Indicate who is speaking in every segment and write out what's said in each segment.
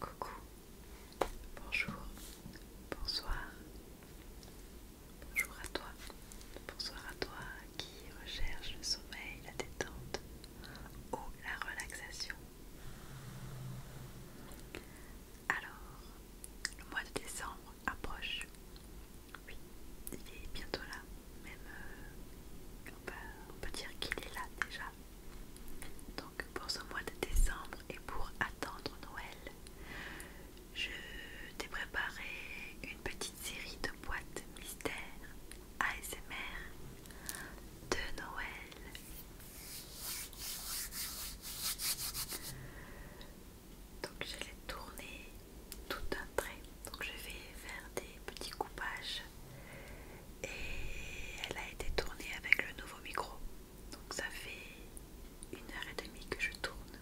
Speaker 1: Coucou, bonjour, bonsoir, bonjour à toi, bonsoir à toi qui recherche le sommeil, la détente ou la relaxation. Alors, le mois de décembre approche. Oui, il est bientôt là. Même, euh, on, peut, on peut dire qu'il est là déjà. Donc, pour ce mois de décembre et pour attendre Noël, je t'ai préparé une petite série de boîtes mystères ASMR de Noël donc je l'ai tournée tout un trait donc je vais faire des petits coupages et elle a été tournée avec le nouveau micro donc ça fait une heure et demie que je tourne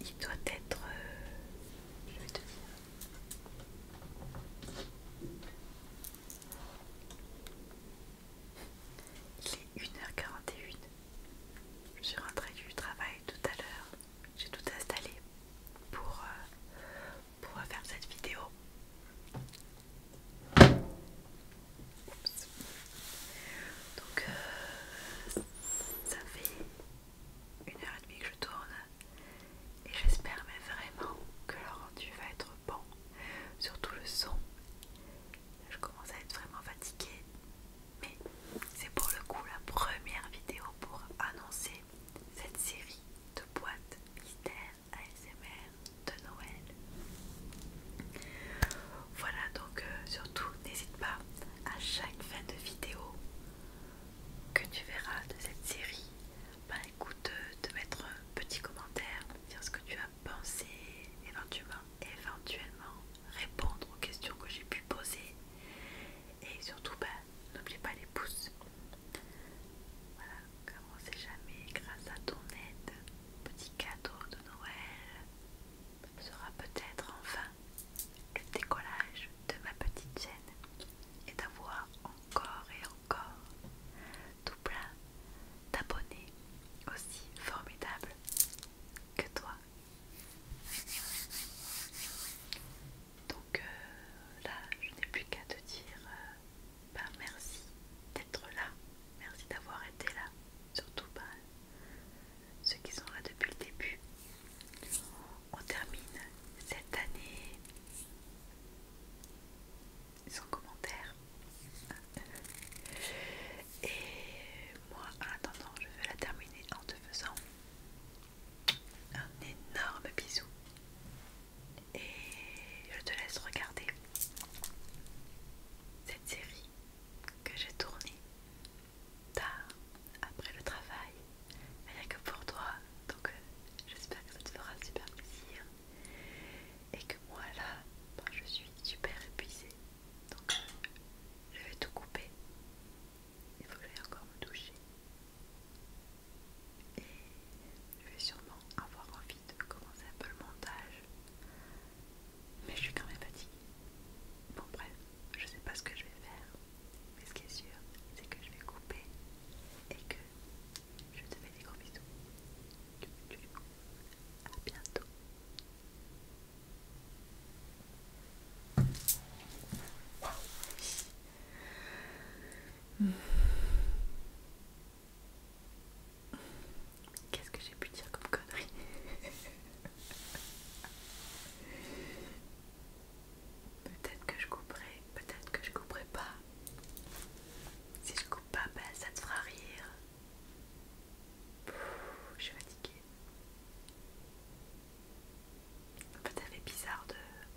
Speaker 1: il doit être euh, je vais te il est 1h41. Je suis rentrée du travail tout à l'heure. J'ai tout installé pour, euh, pour faire cette vidéo. Donc euh, ça fait une heure et demie que je tourne et j'espère mais vraiment que le rendu va être bon, surtout le son je commence à être vraiment fatiguée. Mais c'est pour le coup la première vidéo pour annoncer cette série de boîtes mystères ASMR de Noël. Voilà donc euh, surtout n'hésite pas à chaque fin de vidéo que tu verras de cette série, bah écoute, euh, de mettre un petit commentaire, dire ce que tu as penser, éventuellement, éventuellement répondre aux questions que j'ai pu poser. Et surtout, bah, n'oubliez pas les pouces. Voilà, comme on jamais, grâce à ton aide, petit cadeau de Noël sera peut-être enfin le décollage de ma petite chaîne et d'avoir encore et encore plein d'abonnés aussi formidables que toi. Donc euh, là, je n'ai plus qu'à te dire euh, ben, merci d'être là, merci d'avoir été là, surtout pas ben, ceux qui sont là depuis le début. On termine cette année sans commentaire. Et moi, en attendant, je vais la terminer en te faisant un énorme bisou. Et je te laisse regarder cette série que j'ai tournée tard après le travail, rien que pour toi. Donc, euh, j'espère que ça te fera super plaisir et que moi là ben, je suis super épuisée donc je vais tout couper il faut que j'aille encore me toucher. et je vais sûrement avoir envie de commencer un peu le montage mais je suis quand même fatiguée bon bref je sais pas ce que je vais faire mais ce qui est sûr c'est que je vais couper et que je te fais des gros bisous. À bientôt. Qu'est-ce que j'ai pu dire comme connerie Peut-être que je couperai, peut-être que je couperai pas. Si je Oh, papa, ça te fera rire. je suis fatiguée. ça fait bizarre de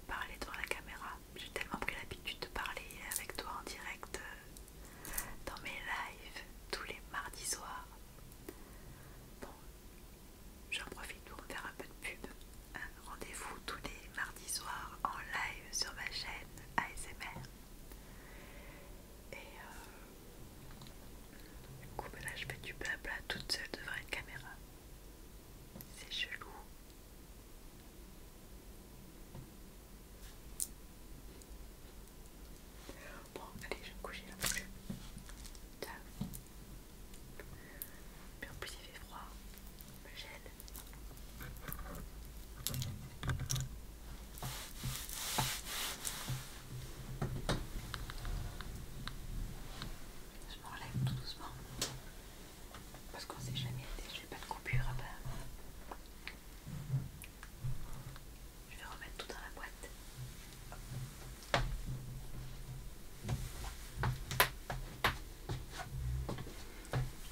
Speaker 1: parler devant la caméra. J'ai tellement pris l'habitude de parler avec toi en direct euh, dans mes lives tous les mardis soirs. Bon, j'en profite pour faire un peu de pub. Rendez-vous tous les mardis soirs en live sur ma chaîne ASMR. Et euh, du coup, bah là, je fais du blabla toute seule devant une caméra. C'est chelou. Bon, allez, je vais me coucher là. Ciao. Mais en plus, il fait froid le Je m'enlève tout doucement parce qu'on s'est jamais aidé, n'ai pas de coupure à part. Je vais remettre tout dans la boîte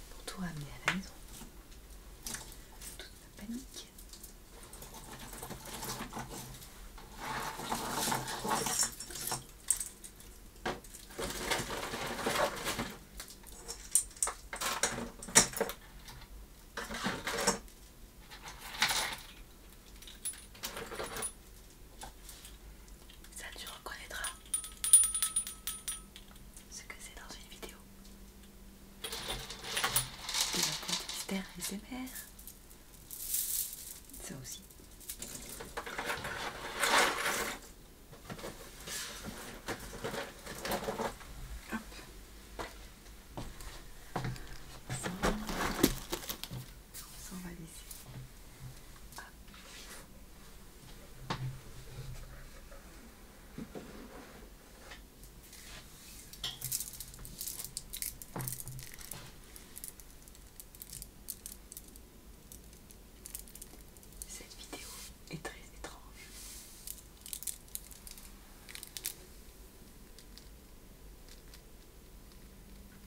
Speaker 1: pour toi ramener à la maison. Toute la panique. Ça tu reconnaîtras ce que c'est dans une vidéo. Des racontes mystères et ses mères. Ça aussi. Hop. Ça, ça on va laisser. Cette vidéo est très étrange.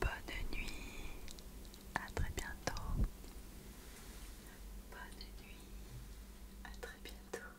Speaker 1: Bonne nuit, à très bientôt. Bonne nuit, à très bientôt.